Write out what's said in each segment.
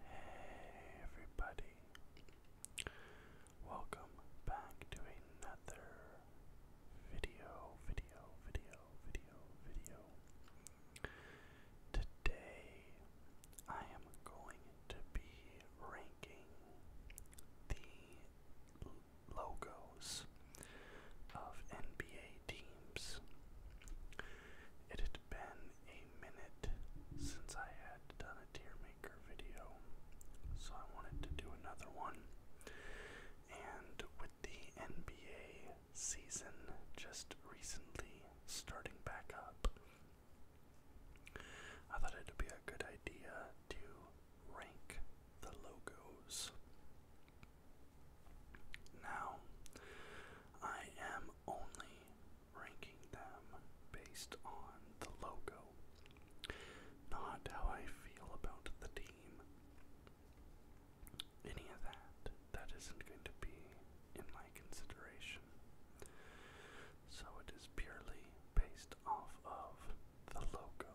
Hey everybody. Welcome back to another video, video, video, video, video. Today I am going to be ranking the logos of NBA teams been a minute since I had done a tear maker video, so I wanted to do another one. And with the NBA season just recently starting back up, I thought it would be a good idea to rank the logos. Now, I am only ranking them based on the logo, not how I feel about the team. Any of that, that isn't going to be in my consideration. So it is purely based off of the logo.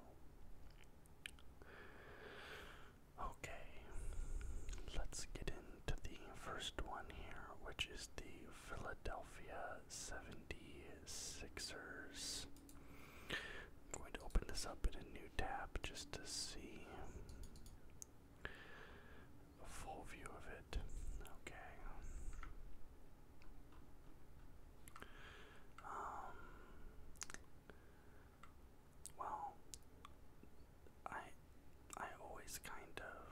Okay, let's get in to the first one here, which is the Philadelphia 76ers. I'm going to open this up in a new tab just to see a full view of it. Okay. Um, well, I I always kind of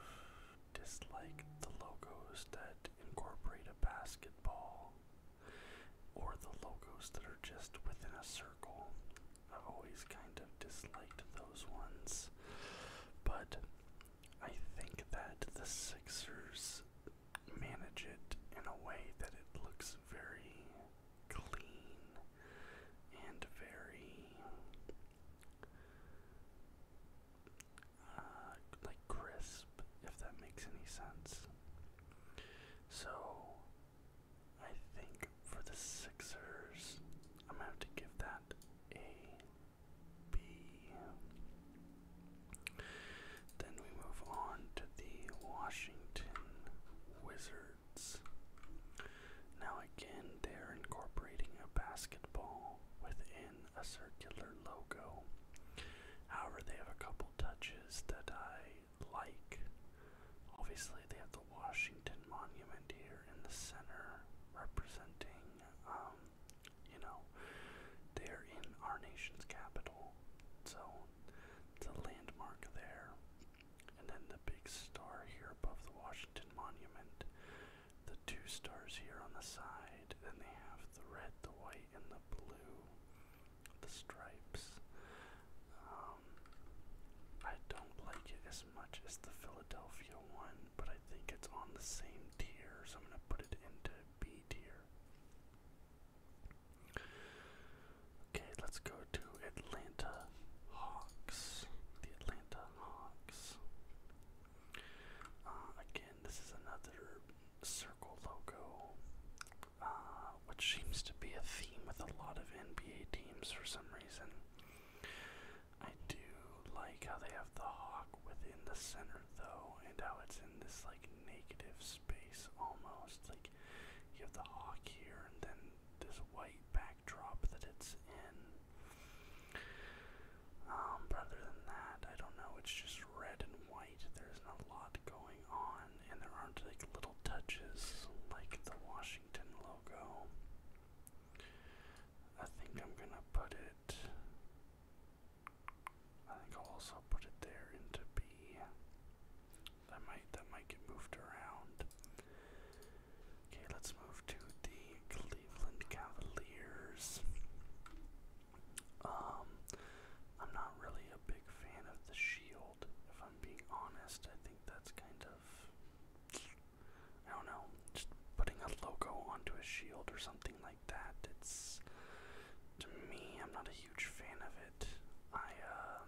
dislike the logos that incorporate a basketball or the logos that are just within a circle. I've always kind of disliked those ones. But I think that the Sixers manage it in a way that it looks very clean and very uh, like crisp, if that makes any sense. So, I think for the Sixers, I'm gonna to give that a B. Then we move on to the Washington Wizards. Now again, they're incorporating a basketball within a circular logo. However, they have a couple touches that I like. Obviously, they have the Washington Monument here in the center, representing, um, you know, they're in our nation's capital. So, it's a landmark there. And then the big star here above the Washington Monument the two stars here on the side. and they have the red, the white, and the blue, the stripes. Um, I don't like it as much as the Philadelphia one, but I think it's on the same tier, so I'm going to put it into B tier. Okay, let's go to Atlanta Hawks. The Atlanta Hawks. Uh, again, this is another circle logo, uh, which seems to be a theme with a lot of NBA teams for some reason. I do like how they have the hawk within the center, though, and how it's in this like negative space almost. Like you have the hawk here, and then this white back Drop that it's in. Um, but other than that, I don't know. It's just red and white. There's not a lot going on, and there aren't like little touches like the Washington logo. I think I'm gonna put it. I think I'll also put it there into B. That might that might get moved around. Okay, let's move to the Cleveland Cavaliers. Um, I'm not really a big fan of the Shield, if I'm being honest. I think that's kind of. I don't know, just putting a logo onto a shield or something like that. It's. To me, I'm not a huge fan of it. I, um.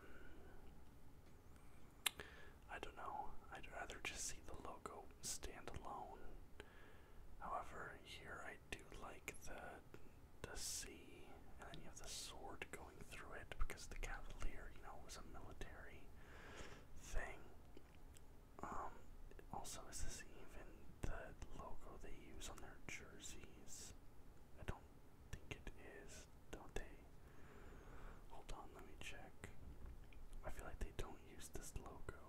I don't know. I'd rather just see the logo stand alone. However, here I do like the the sea, and then you have the sword going through it because the Cavalier, you know, was a military thing. Um, also, is this even the logo they use on their jerseys? I don't think it is, don't they? Hold on, let me check. I feel like they don't don't use this logo.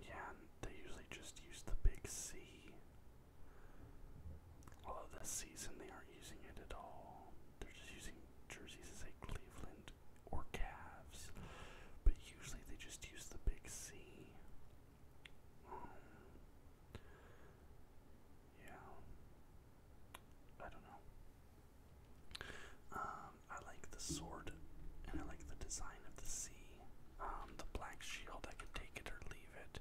Yeah, and they usually just use the big C. Although this season they aren't using it at all. They're just using jerseys that say Cleveland or Cavs. But usually they just use the big C. Um, yeah. I don't know. Um, I like the sword, and I like the design of the sea. Um, the black shield, I could take it or leave it.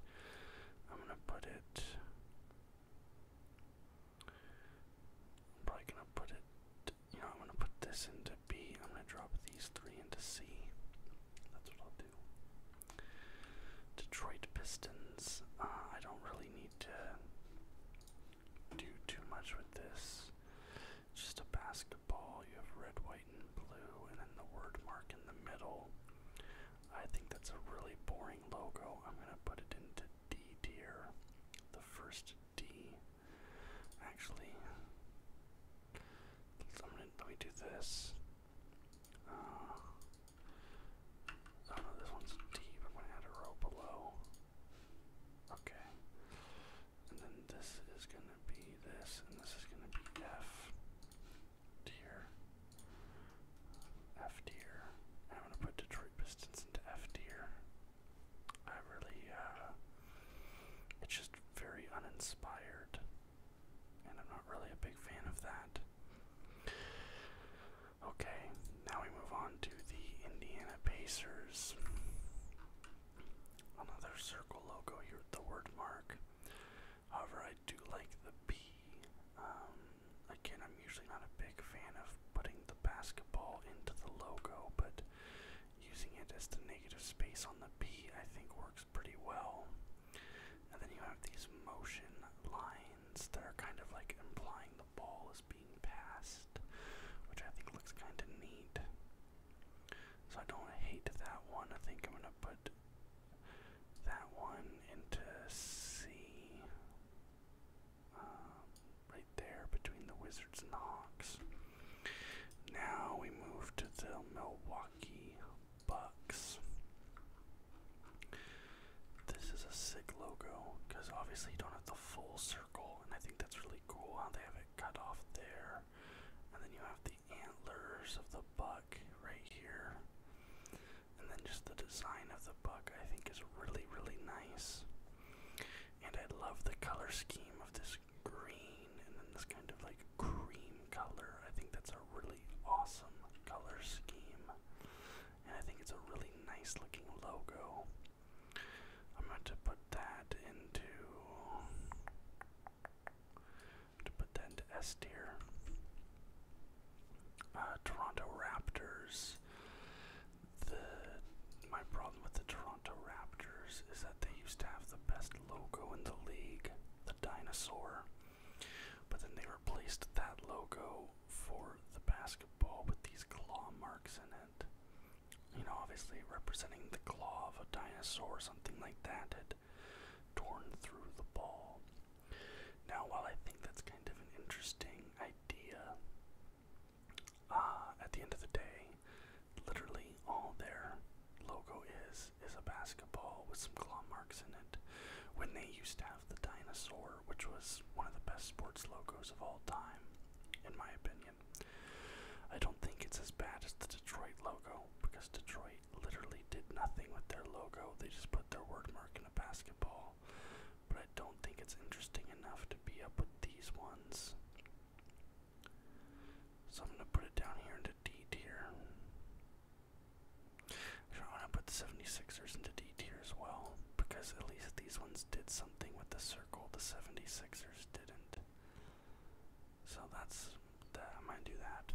I'm gonna put it. probably gonna put it. You know, I'm gonna put this into B. I'm gonna drop these three into C. That's what I'll do. Detroit Pistons. Uh, I don't really need do too much with this. Just a basketball. You have red, white, and blue, and then the word mark in the middle. I think that's a really boring logo. I'm gonna put it into D tier. The first D. Actually, let me do this. Uh, Oh, this one's deep. I'm gonna add a row below. Okay. And then this is gonna be this, and this is gonna be F tier. F tier. I'm gonna put Detroit Pistons into F tier. I really, uh, it's just very uninspired, and I'm not really a big fan of that. Okay, now we move on to the Indiana Pacers. Another circle logo here the word mark. However, I do like the P. Um, again, I'm usually not a big fan of putting the basketball into the logo, but using it as the negative space on the P, I think works pretty well. And then you have these motion lines that are kind of like implying the ball is being passed, which I think looks kind of neat. So I don't hate that one. I think I'm gonna put that one into C, um, right there between the Wizards and the Hawks. Now we move to the Milwaukee Bucks. This is a sick logo because obviously you don't have the full circle, and I think that's really cool how they have it cut off there. And then you have the antlers of the buck right here. And then just the design of the buck, I think, is really, really nice. And I love the color scheme of this green and then this kind of like cream color. I think that's a really awesome color scheme and I think it's a really nice looking logo. I'm going to put that into to put that into S tier. Uh, Toronto Raptors. The my problem with the Toronto Raptors is that they used to have the best logo in the league, the dinosaur. But then they replaced that logo for the basketball with these claw marks in it. You know, obviously representing the claw of a dinosaur, or something like that had torn through the ball. Now, while I think that's kind of an interesting idea, uh, at the end of the day, literally all their logo is is a basketball with some claw marks in it. When they used to have the dinosaur, which was one of the best sports logos of all time, in my opinion. I don't think it's as bad as the Detroit logo, because Detroit literally did nothing with their logo. They just put their word mark in a basketball. But I don't think it's interesting enough to be up with these ones. So I'm going to put it down here into D tier. Actually, i put the 76ers into D D as well, because at least these ones did something with the circle, the 76ers didn't. So that's, I might do that.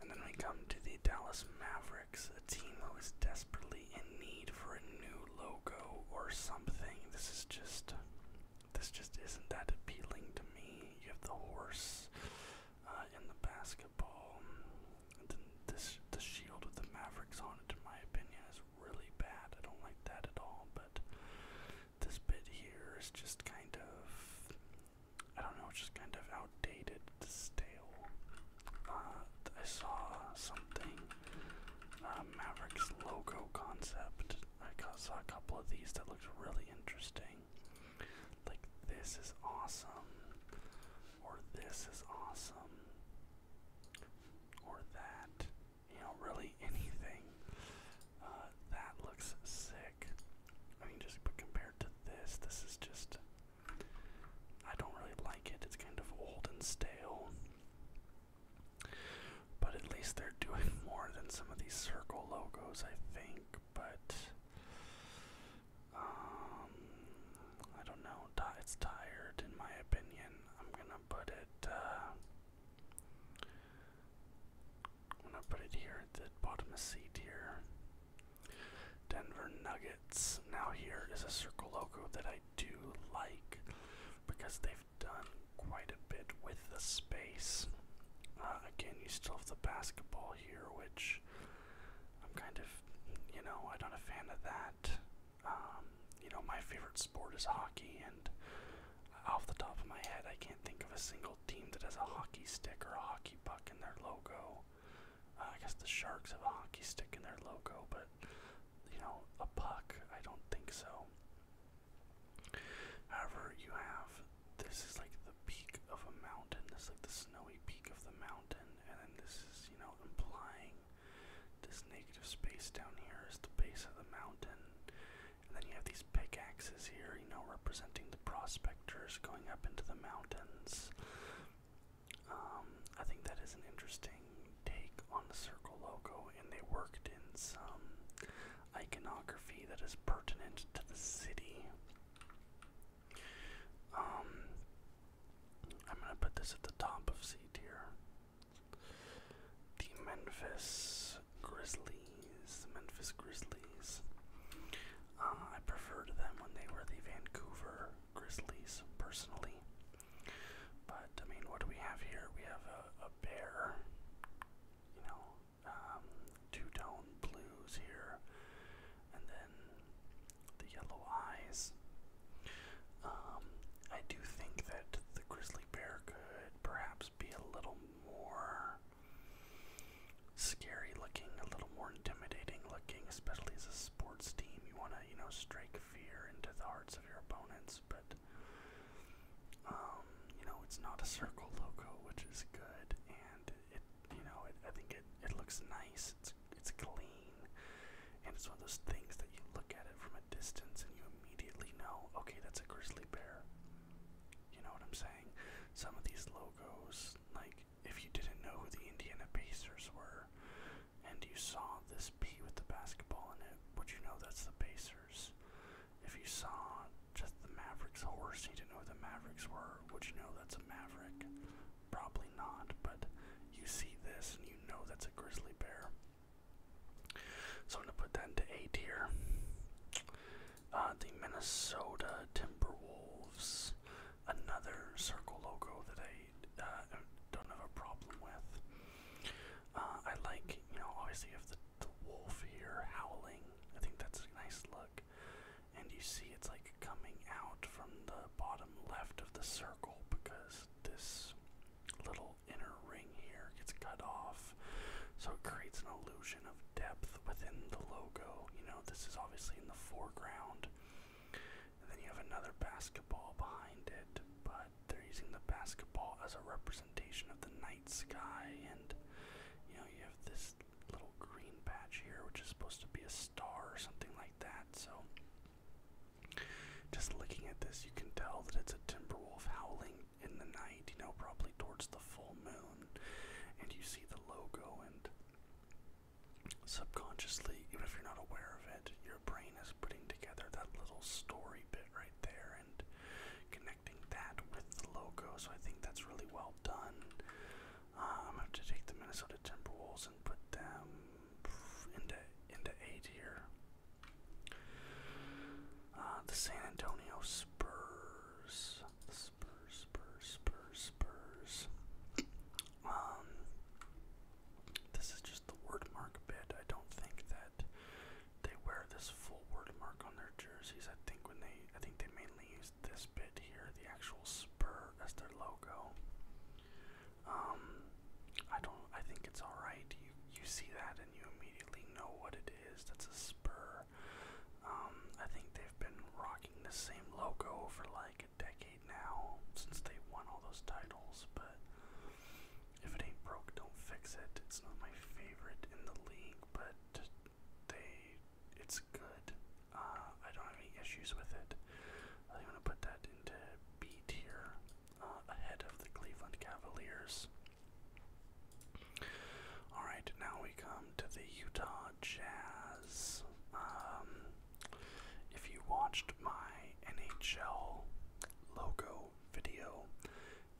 And then we come to the Dallas Mavericks, a team who is desperately in need for a new logo or something. This is just, this just isn't that appealing to me. You have the horse uh, in the basketball this the shield with the Mavericks on it, in my opinion, is really bad. I don't like that at all. But this bit here is just kind of I don't know, just kind of outdated, stale. Uh, I saw something uh, Mavericks logo concept. I got, saw a couple of these that looked really interesting. Like this is awesome, or this is awesome or that, you know, really anything. Uh, that looks sick. I mean, just compared to this, this is just. I don't really like it. It's kind of old and stale. But at least they're doing more than some of these circle logos, I think. But um, I don't know. It's tired, in my opinion. I'm gonna put it. Uh, I'm gonna put it here at the bottom of C tier. Denver Nuggets. Now here is a circle logo that I do like because they've done quite a bit with the space. Uh, again, you still have the basketball here, which I'm kind of, you know, I'm not a fan of that. Um, you know, my favorite sport is hockey, and off the top of my head, I can't think of a single team that has a hockey stick or a hockey puck in their logo. Uh, I guess the Sharks have a hockey stick in their logo, but you know, a puck, I don't think so. However, you have this is like the peak of a mountain, this is like the snowy peak of the mountain, and then this is, you know, implying this negative space down here is the base of the mountain. And then you have these pickaxes here, you know, representing the prospectors going up into the mountains. Um, I think that is an interesting take on the circle logo, and they worked in some iconography that is pertinent to the city. Um, I'm going to put this at the top of C tier. The Memphis Grizzlies. The Memphis Grizzlies. Uh, I preferred them when they were the Vancouver Grizzlies, personally. But, I mean, what do we have here? We have a, bear, you know, um, two tone blues here, and then the yellow eyes. Um, I do think that the grizzly bear could perhaps be a little more scary looking, a little more intimidating looking, especially as a sports team. You want to, you know, strike fear into the hearts of your opponents, but um, you know, it's not a circle logo, which is good, and it, you know, I think it, it looks nice it's it's clean, and it's one of those things that you look at it from a distance and you immediately know, okay, that's a grizzly bear. You know what I'm saying? Some of these logos, like if you didn't know who the Indiana Pacers were, and you saw this P with the basketball in it, would you know that's the Pacers? If you saw just the Mavericks horse, you didn't know who the Mavericks were, would you know that's a Maverick? Probably not, but you see this and you know that's a grizzly bear. So I'm going to put that into A deer. Uh, the Minnesota Timberwolves, another circle logo that I uh, don't have a problem with. Uh, I like, you know, obviously you the wolf here howling. I think that's a nice look. And you see it's like coming out from the bottom left of the circle because this little inner ring here gets cut off. So it creates an illusion of depth within the logo. You know, this is obviously in the foreground. And then you have another basketball behind it, but they're using the basketball as a representation of the night sky. And, you know, you have this little green patch here, which is supposed to be a star or something like that. So just looking at this, you can tell that it's a timber wolf howling in the night, you know, probably towards the full moon. And you see the logo, and subconsciously, even if you're not aware of it, your brain is putting together that little story bit right there and connecting that with the logo. So I think that's really well done. Um, I have to take the Minnesota Timberwolves and put them into into A tier. Uh, the San Antonio Spurs, Spurs, Spurs, Spurs, Spurs. Um, this is just the word mark bit. I don't think that they wear this full word mark on their jerseys. I think when they, I think they mainly use this bit here, the actual spur, as their logo. Um, I don't. I think it's all right. You you see that and you immediately know what it is. That's a spur. Um, I think they've been rocking the same logo for like a decade now since they won all those titles. But if it ain't broke, don't fix it. It's not my favorite in the league, but they it's good. Uh, I don't have any issues with it. I'm gonna put that into B tier. Uh, ahead of the Cleveland Cavaliers. Alright, now we come to the Utah Jazz. Um, if you watched my NHL logo video,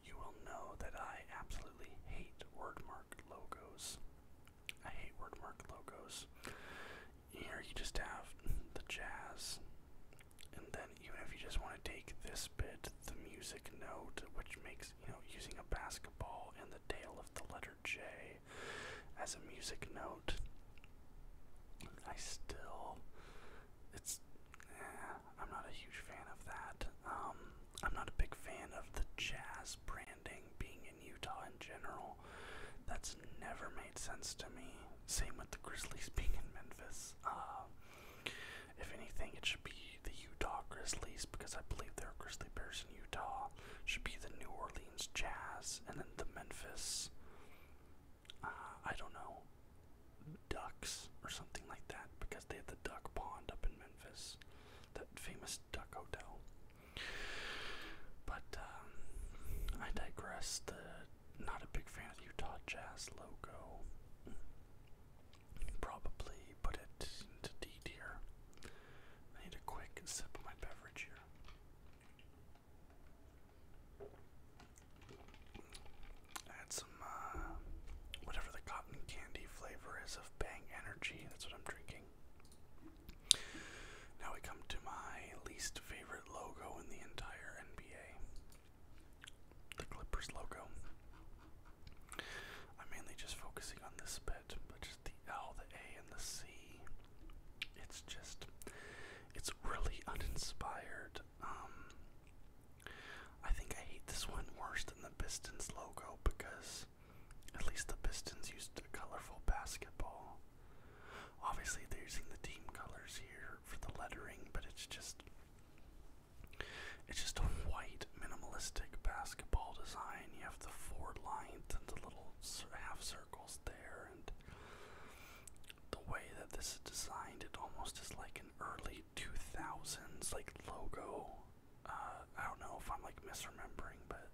you will know that I absolutely hate wordmark logos. I hate wordmark logos here you just have the jazz, and then even if you just want to take this bit, the music note, which makes you know using a basketball and the tail of the letter J as a music note, I still it's eh, I'm not a huge fan of that. Um, I'm not a big fan of the jazz branding being in Utah in general. That's never made sense to me. Same with the Grizzlies being in Memphis. Uh, if anything, it should be the Utah Grizzlies because I believe there are Grizzly Bears in Utah. Should be the New Orleans Jazz and then the Memphis. Uh, I don't know, ducks or something like that because they have the duck pond up in Memphis, that famous duck hotel. But um, I digress. Not a big fan of Utah Jazz logo. Probably put it into D tier. I need a quick sip of my beverage here. Add some, uh, whatever the cotton candy flavor is of Bang Energy. That's what I'm drinking. Now we come to my least favorite logo in the entire NBA the Clippers logo. I'm mainly just focusing on this bit, but just the L, the A, and the C. It's just, it's really uninspired. Um, I think I hate this one worse than the Pistons logo because at least the Pistons used a colorful basketball. Obviously, they're using the team colors here for the lettering, but it's just it's just a white minimalistic basketball design. You have the four lines and the little half circles there, and the way that this is designed, it almost is like an early 2000s like logo. Uh, I don't know if I'm like misremembering, but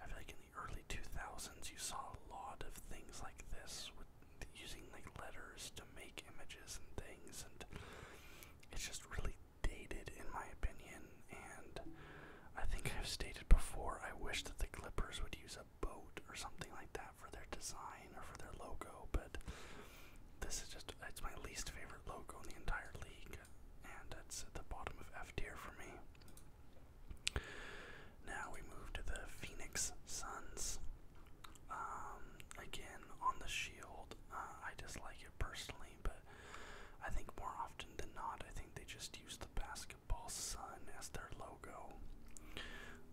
I feel like in the early 2000s you saw a lot of things like this using like letters to make images and things, and it's just really dated in my opinion. And I think I've stated before, I wish that the Clippers would use a boat or something like that for their design or for their logo, but this is just, it's my least favorite logo in the entire league, and it's at the bottom of F tier for me. Now we move to the Phoenix Suns. Um, again, on the shield, uh, I dislike it personally, but I think more often than not, I think they just use the basketball sun as their logo.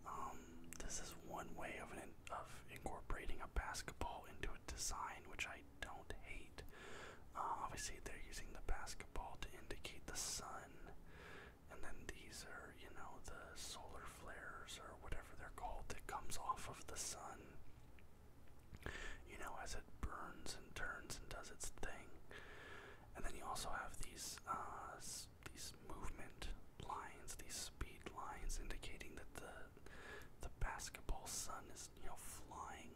Um, this is one way of of incorporating a basketball into a design, which I don't hate. Uh, obviously, they're using the basketball to indicate the sun, and then these are, you know, the solar flares or whatever they're called that comes off of the sun. You know, as it burns and turns and does its thing. And then you also have these uh, these movement lines, these speed lines, indicating that the the basketball sun is you know flying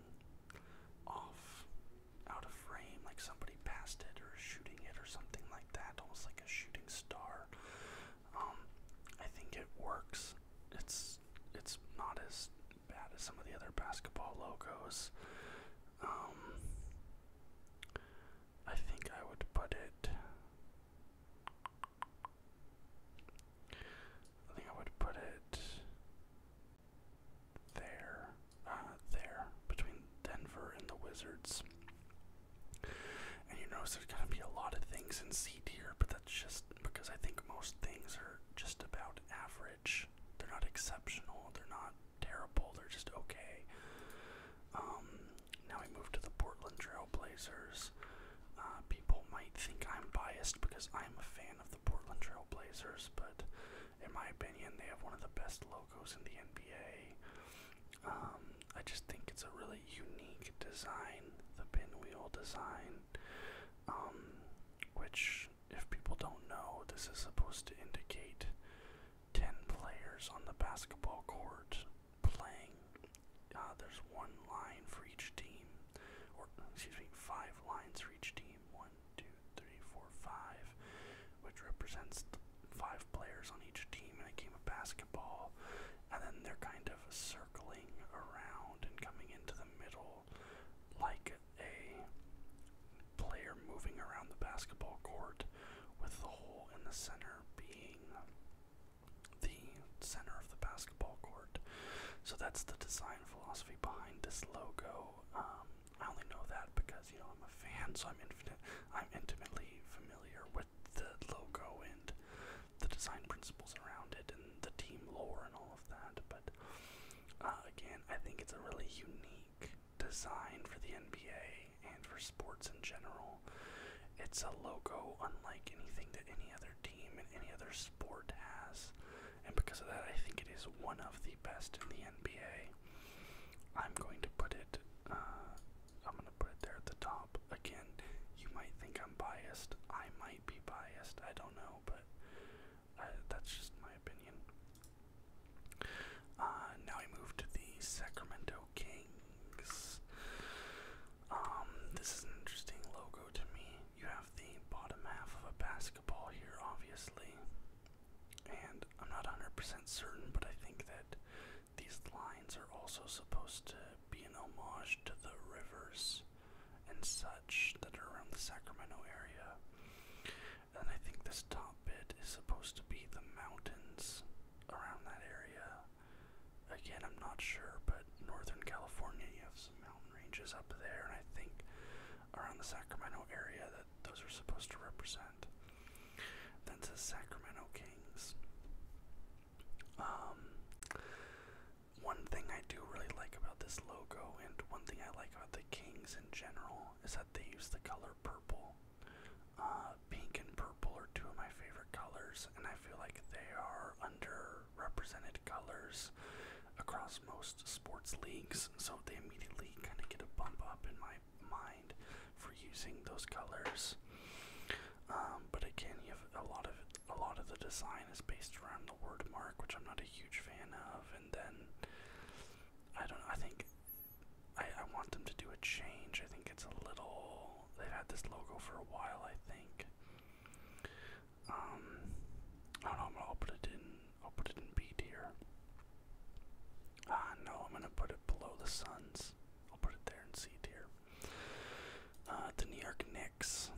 off out of frame, like somebody passed it or shooting it or something like that, almost like a shooting star. Um, I think it works. It's it's not as bad as some of the other basketball logos. Um, I think I would put it. I think I would put it there, uh, there between Denver and the Wizards. And you notice there's gonna be a lot of things in C tier, but that's just because I think most things are just about average. They're not exceptional, they're not terrible, they're just okay. Um, now we move to the Portland Trailblazers. Uh, people might think I'm biased because I'm a fan of the Portland Trailblazers, but in my opinion, they have one of the best logos in the NBA. Um, I just think it's a really unique design, the pinwheel design, um, which, if people don't know, this is supposed to indicate 10 players on the basketball court playing. Uh, there's one line for each team, or excuse me, five lines for each team. One, two, three, four, five, which represents five players on each team and a game of basketball, and then they're kind of circling around and coming into the middle like a player moving around the basketball court with the hole in the center being the center of the basketball court. So that's the design philosophy behind this logo. Um, I only know that because, you know, I'm a fan, so I'm infinite, I'm intimately familiar with the logo and the design principles around it and the team lore and all of that, but uh, again, I think it's a really unique design for the NBA and for sports in general. It's a logo unlike anything that any other team and any other sport has, and because of that, I think it is one of the best in the NBA. I'm going to put it, uh, put it there at the top. Again, you might think I'm biased. I might be biased. I don't know, but uh, that's just my opinion. Uh, now we move to the Sacramento Kings. Um, this is an interesting logo to me. You have the bottom half of a basketball here, obviously. And I'm not 100% certain, but I think that these lines are also supposed to be an homage to the rivers and such that are around the Sacramento area. And I think this top bit is supposed to be the mountains around that area. Again, I'm not sure, but Northern California, you have some mountain ranges up there, and I think around the Sacramento area that those are supposed to represent. Then says Sacramento Kings. Um, one thing I do really like about this logo, and one thing I like about the Kings in general, is that they use the color purple. Uh, pink and purple are two of my favorite colors, and I feel like they are underrepresented colors across most sports leagues, so they immediately kind of get a bump up in my my for using those colors. Um, but again, you have a lot of a lot of the design is based around the word mark, which I'm not a huge fan of. And then I don't. I think I, I want them to do a change. I think it's a little. They've had this logo for a while. I think. Um, I don't know. i am gonna put it in. i put it in B tier. Ah, uh, no, I'm gonna put it below the suns. I'll put it there in C tier. Uh, the New York Knicks.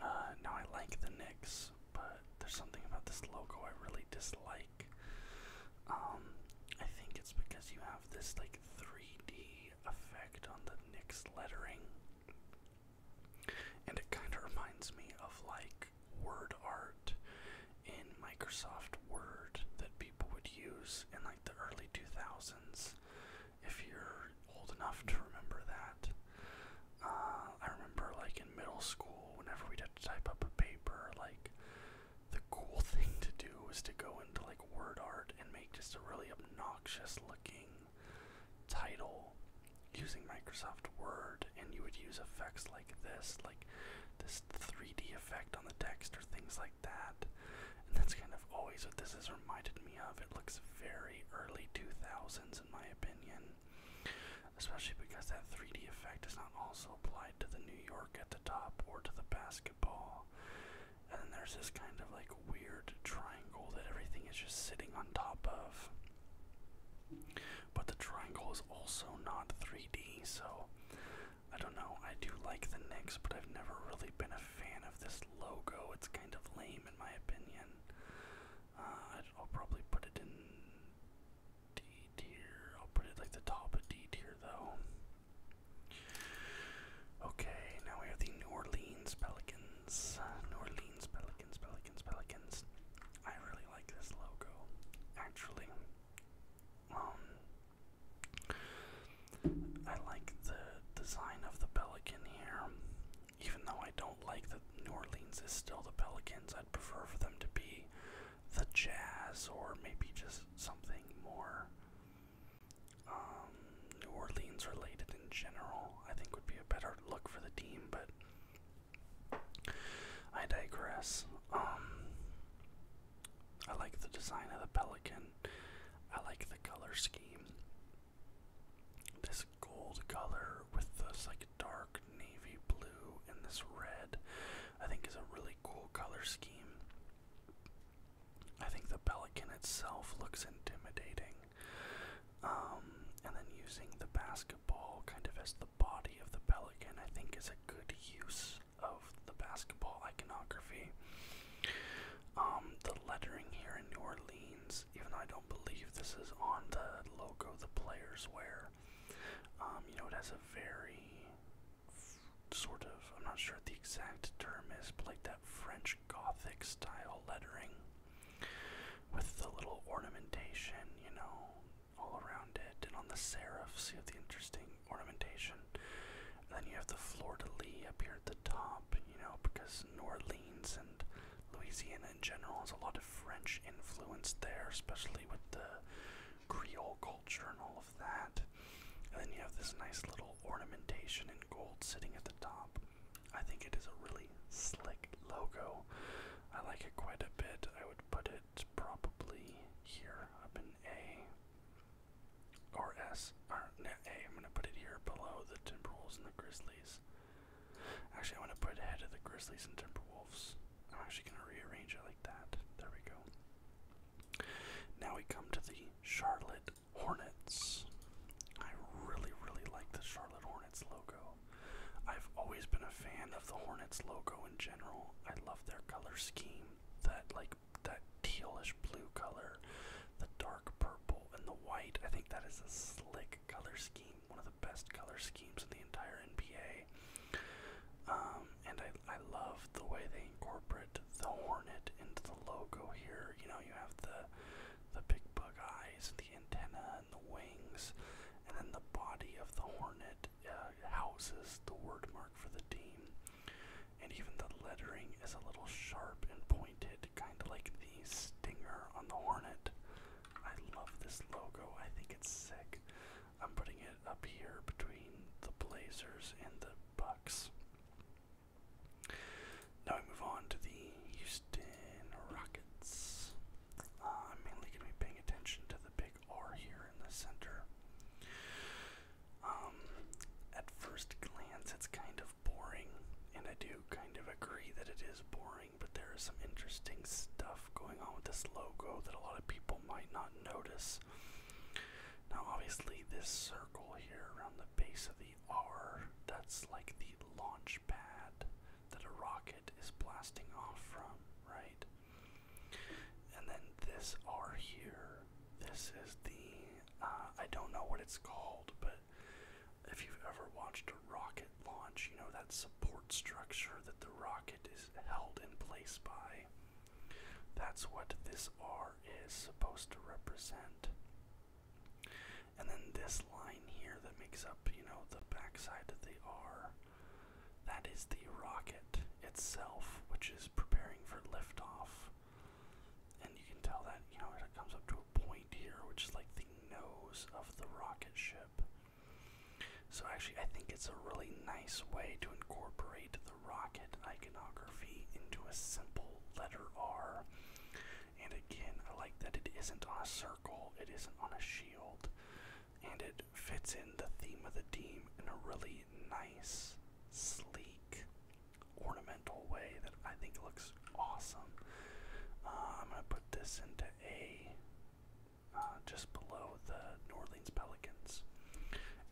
Uh, now I like the Knicks, but there's something about this logo I really dislike. Um, I think it's because you have this like 3D effect on the Knicks lettering, and it kind of reminds me of like word art in Microsoft Word that people would use in like the early 2000s, if you're old enough to remember that. Uh, I remember, like, in middle school, whenever we had to type up a paper, like, the cool thing to do was to go into, like, word art and make just a really obnoxious looking title using Microsoft Word, and you would use effects like this, like this 3D effect on the text, or things like that and that's kind of always what this has reminded me of. It looks very early 2000s, in my opinion, especially because that 3D effect is not also applied to the New York at the top or to the basketball. And then there's this kind of like weird triangle that everything is just sitting on top of. But the triangle is also not 3D, so I don't know. I do like the Knicks, but I've never really been a fan of this logo. It's kind of lame in my opinion. Uh, I'll probably put it in D tier. I'll put it like the top of D tier though. Okay, now we have the New Orleans Pelicans. New Orleans Pelicans, Pelicans, Pelicans. I really like this logo. Actually, um, I like the design of the Pelican here. Even though I don't like that New Orleans is still the Pelicans, I'd prefer for them to be the Jazz or maybe just something more um, New Orleans related in general. I think would be a better look for the team, but I digress. Um, I like the design of the pelican. I like the color scheme. This gold color with this like dark navy blue and this red, I think is a really cool color scheme. I think the pelican itself looks intimidating. Um, and then using the basketball kind of as the body of the pelican, I think is a good use of the basketball iconography. Um, the lettering here in New Orleans, even though I don't believe this is on the logo the players wear, um, you know, it has a very sort of, I'm not sure the exact term is, but like that French Gothic style lettering with the little ornamentation, you know, all around it. And on the serifs, you have the interesting ornamentation. And then you have the Fleur de Lis up here at the top, you know, because New Orleans and Louisiana in general has a lot of French influence there, especially with the Creole culture and all of that. And then you have this nice little ornamentation in gold sitting at the top. I think it is a really slick logo. I like it quite a bit. I would put it probably here up in A or S, no, A. I'm going to put it here below the Timberwolves and the Grizzlies. Actually, i want to put ahead of the Grizzlies and Timberwolves. I'm actually going to rearrange it like that. There we go. Now we come to the Charlotte Hornets. I really, really like the Charlotte Hornets logo. I've always been a fan of the Hornets logo in general. I love their color scheme, that like that tealish blue color, the dark purple, and the white. I think that is a slick color scheme, one of the best color schemes in the entire NBA. Um, and I, I love the way they incorporate the hornet into the logo here. You know, you have the the big bug eyes, the antenna, and the wings, and then the body of the hornet uh, houses the word mark for the team and even the lettering is a little sharp and pointed, kind of like the stinger on the Hornet. I love this logo, I think it's sick. I'm putting it up here between the Blazers and the Bucks. Now we move on to the Houston Rockets. Uh, I'm mainly going to be paying attention to the big R here in the center. Um, at first glance, it's kind of boring, and I do kind of agree that it is boring, but there is some interesting stuff going on with this logo that a lot of people might not notice. Now, obviously, this circle here around the base of the R, that's like the launch pad that a rocket is blasting off from, right? And then this R here this is the, uh, I don't know what it's called, but if you've ever watched a rocket launch, you know that support structure that the rocket is held in place by. That's what this R is supposed to represent. And then this line here that makes up, you know, the backside of the R, that is the rocket itself, which is preparing for liftoff. And you can tell that, you know, it comes up to a point here, which is like the nose of the rocket ship. So actually, I think it's a really nice way to incorporate the rocket iconography into a simple letter R. And again, I like that it isn't on a circle, it isn't on a shield, and it fits in the theme of the team in a really nice, sleek, ornamental way that I think looks awesome. Uh, I'm gonna put this into a uh, just below the New Orleans Pelicans.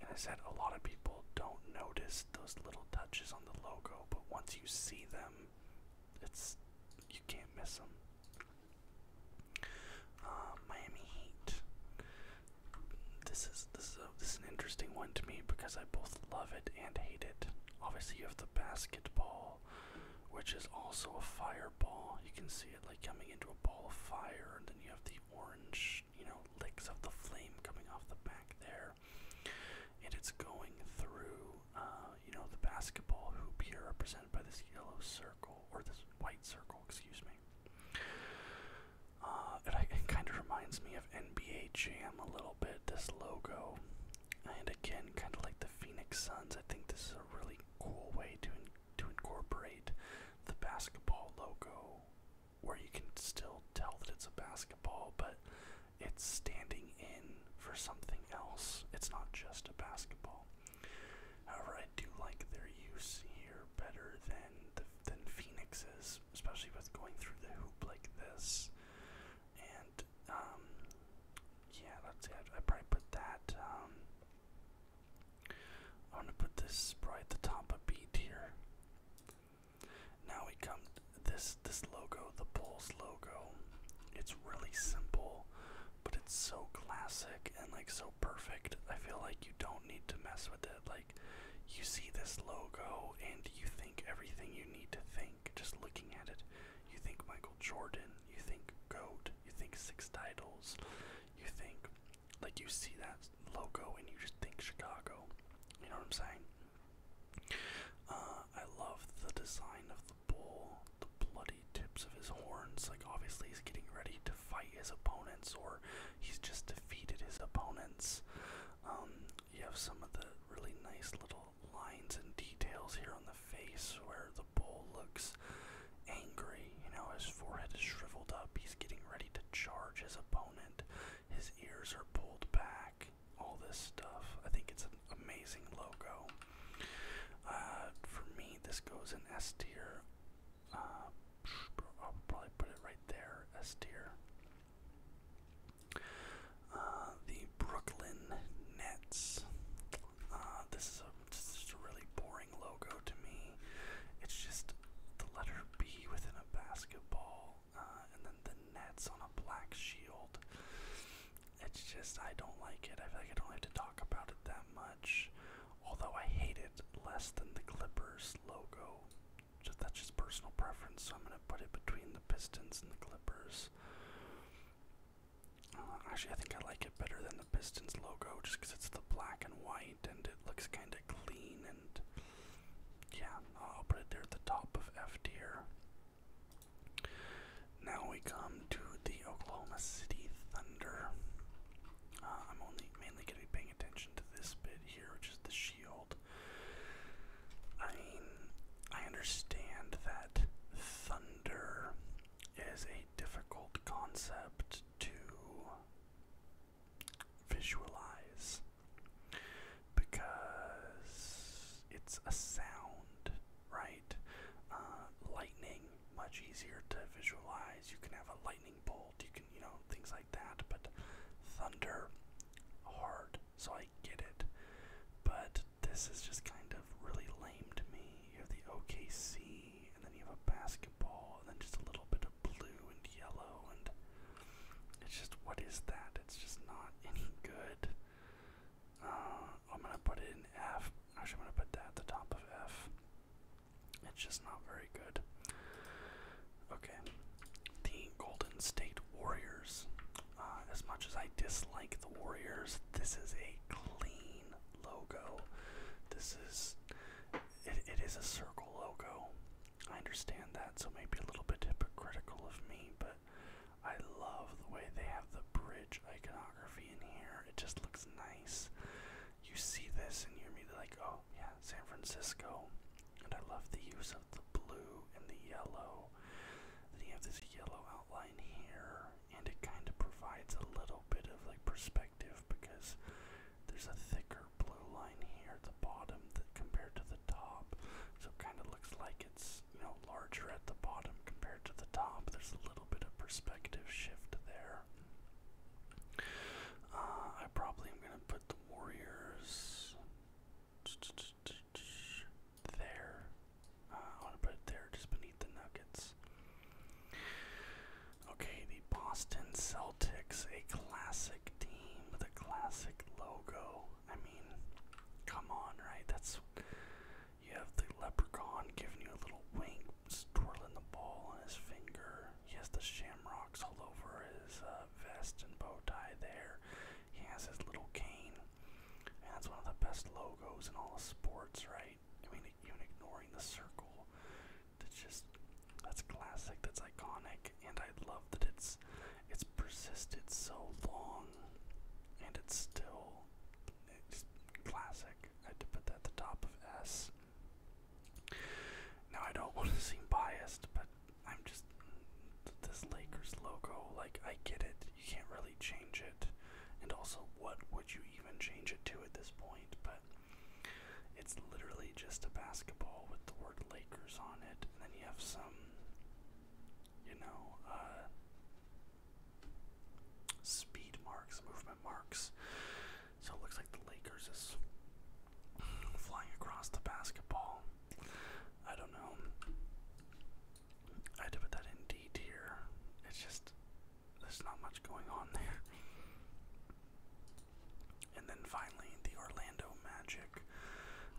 And I said a lot of people don't notice those little touches on the logo, but once you see them, it's you can't miss them. Uh, Miami Heat. This is this this is an interesting one to me because I both love it and hate it. Obviously, you have the basketball, which is also a fireball. You can see it like coming into a ball of fire, and then you have the orange, you know, licks of the flame coming off the back there, and it's going through, uh, you know, the basketball hoop here, represented by this yellow circle or this white circle, excuse me. Uh, it kind of reminds me of NBA Jam a little bit this logo, and again, kind of like the Phoenix Suns, I think this is a really cool way to to incorporate the basketball logo, where you can still tell that it's a basketball, but it's standing in for something else. It's not just a basketball. However, I do like their use here better than the, than Phoenix's, especially with going through the hoop like this. And um, yeah, let's see. I probably put that. Um, I'm to put this right at the top of B tier. Now we come to this this logo, the Bulls logo. It's really simple, but it's so classic and like so perfect. I feel like you don't need to mess with it. Like you see this logo and you think everything you need to think just looking at it, you think Michael Jordan, you think GOAT, you think six titles, you think, like, you see that logo and you just think Chicago. You know what I'm saying? Uh, I love the design of the bull, the bloody tips of his horns. Like, obviously, he's getting ready to fight his opponents, or he's just defeated his opponents. Um, you have some of the really nice little lines and details here on the face where the bull looks angry. You know, his forehead is shriveled up, he's getting ready to charge his opponent, his ears are pulled back, all this stuff. I think it's an amazing logo. Uh, for me, this goes in S tier. Uh, I'll probably put it right there, S tier. Uh, the Brooklyn Nets. Uh, this is a just a really boring logo to me. It's just the letter B within a basketball, uh, and then the Nets on a black shield. It's just I don't like it. I feel like I don't have to talk about it that much. Although I hate it less than the Clippers logo. So that's just personal preference. So I'm gonna put it between the Pistons and the Clippers. Uh, actually, I think I like it better than the Pistons logo, just because it's the black and white, and it looks kind of clean. And yeah, I'll put it there at the top of F tier. Now we come to the Oklahoma City Thunder. Uh, I'm only mainly gonna be paying attention to this bit here, which is the shield. I I understand that thunder is a difficult concept to visualize because it's a sound, right? Uh, lightning, much easier to visualize. You can have a lightning bolt, you can, you know, things like that, but thunder, hard so I get it. But this is just kind of really lame to me. You have the OKC, and then you have a basketball, and then just a little bit of blue and yellow, and it's just what is that? It's just not any good. Uh, I'm gonna put it in F. Actually, I'm gonna put that at the top of F. It's just not very good. Okay, Golden State Warriors. Uh, as much as I dislike the Warriors, this is a clean logo. This is it, it is a circle logo. I understand that, so maybe a little bit hypocritical of me, but I love the way they have the bridge iconography in here. It just looks nice. You see this and you're immediately like, oh yeah, San Francisco. And I love the use of the blue and the yellow yellow. you have this yellow outline here, and it kind of provides a little bit of like perspective because there's a thicker blue line here at the bottom that compared to the top. So it kind of looks like it's you know larger at the bottom compared to the top. There's a little bit of perspective shift there. Uh, I probably am gonna put the Warriors there. Uh, I want to put it there just beneath the Nuggets. Okay, the Boston Celtics, a classic team with a classic logo. I mean, come on, right? That's you have the leprechaun giving you a little wink, twirling the ball on his finger. He has the shamrocks all over his uh, vest and bow tie there. He has his little cane. And that's one of the best logos in all sports, right? I mean, even ignoring the circle, that's just that's classic, that's iconic, and I love that it's it's persisted so long, and it's still classic. I had to put that at the top of S. Now I don't want to seem biased, but I'm just this Lakers logo. Like I get it, you can't really change it, and also what would you even change it to at this point? But it's literally just a basketball with the word Lakers on it, and then you have some, you know, uh, speed marks, movement marks. So it looks like the Lakers is flying across the basketball. I don't know. I had to put that in D tier. It's just there's not much going on there. And then finally, the Orlando Magic.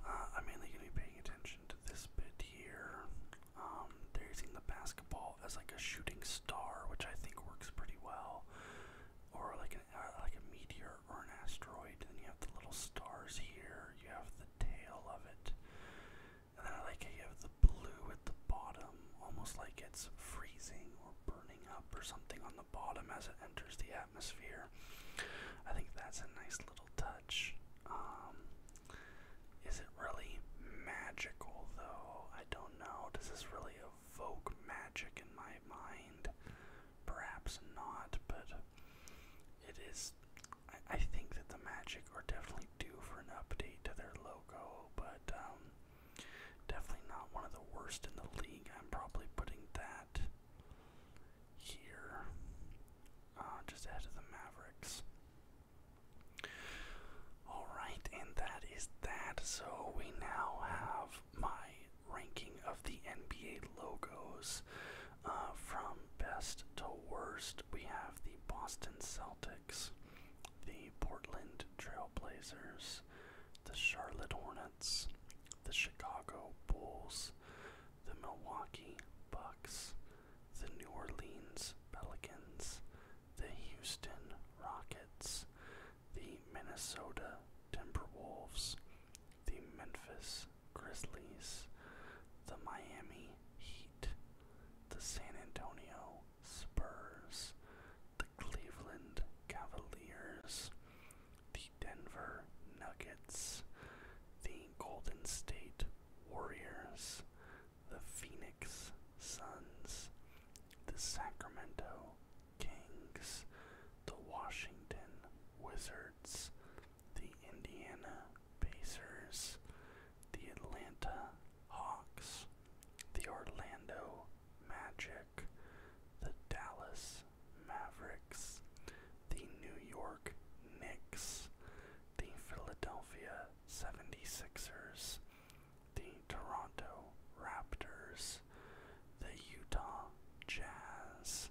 Uh, I'm mainly going to be paying attention to this bit here. Um, they're using the basketball as like a shooting star, which I think works pretty well, or like uh, like a meteor or an asteroid. And then you have the little stars here you have the tail of it. And then I like you have the blue at the bottom, almost like it's freezing or burning up or something on the bottom as it enters the atmosphere. I think that's a nice little touch. Um, is it really magical though? I don't know. Does this really evoke magic in my mind? Perhaps not, but it is I, think that the Magic are definitely due for an update to their logo, but um, definitely not one of the worst in the league. I'm probably putting that here, uh, just ahead of the Mavericks. Alright, and that is that. So we now have my ranking of the NBA logos. Uh, from best to worst, we have the Boston Celtics, the Portland Trailblazers, the Charlotte Hornets, the Chicago Bulls, the Milwaukee Bucks, the New Orleans Pelicans, the Houston Rockets, the Minnesota Timberwolves, the Memphis Grizzlies, the Miami Heat, the San Antonio Spurs, the Cleveland Cavaliers, the Denver Nuggets, the Golden State Warriors, the Phoenix Suns, the Sacramento Kings, the Washington Wizards, the Indiana Pacers, the Atlanta Hawks, the Orlando Magic, the Dallas Mavericks, the New York Knicks, the Philadelphia 76ers, the Toronto Raptors, the Utah Jazz,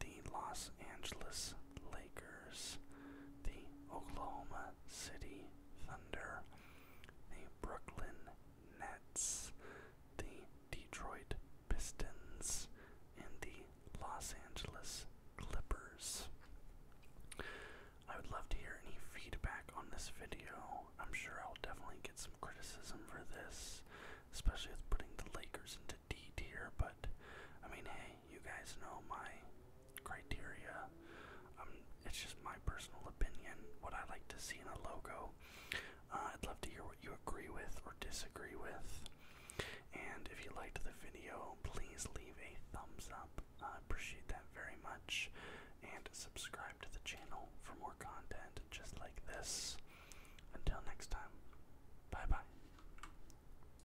the Los Angeles Lakers, the Oklahoma City Thunder, the Brooklyn Nets, the Detroit Pistons, and the Los Angeles Clippers. I would love to hear any feedback on this video. I'm sure I'll definitely get some criticism for this, especially with putting the Lakers into D tier, but I mean, hey, you guys know my criteria. Um, it's just my personal opinion, what I like to see in a logo. Uh, I'd love to hear what you agree with or disagree with. And if you liked the video, please leave a thumbs up. I appreciate that very much. And subscribe to the channel for more content just like this. Until next time, bye bye.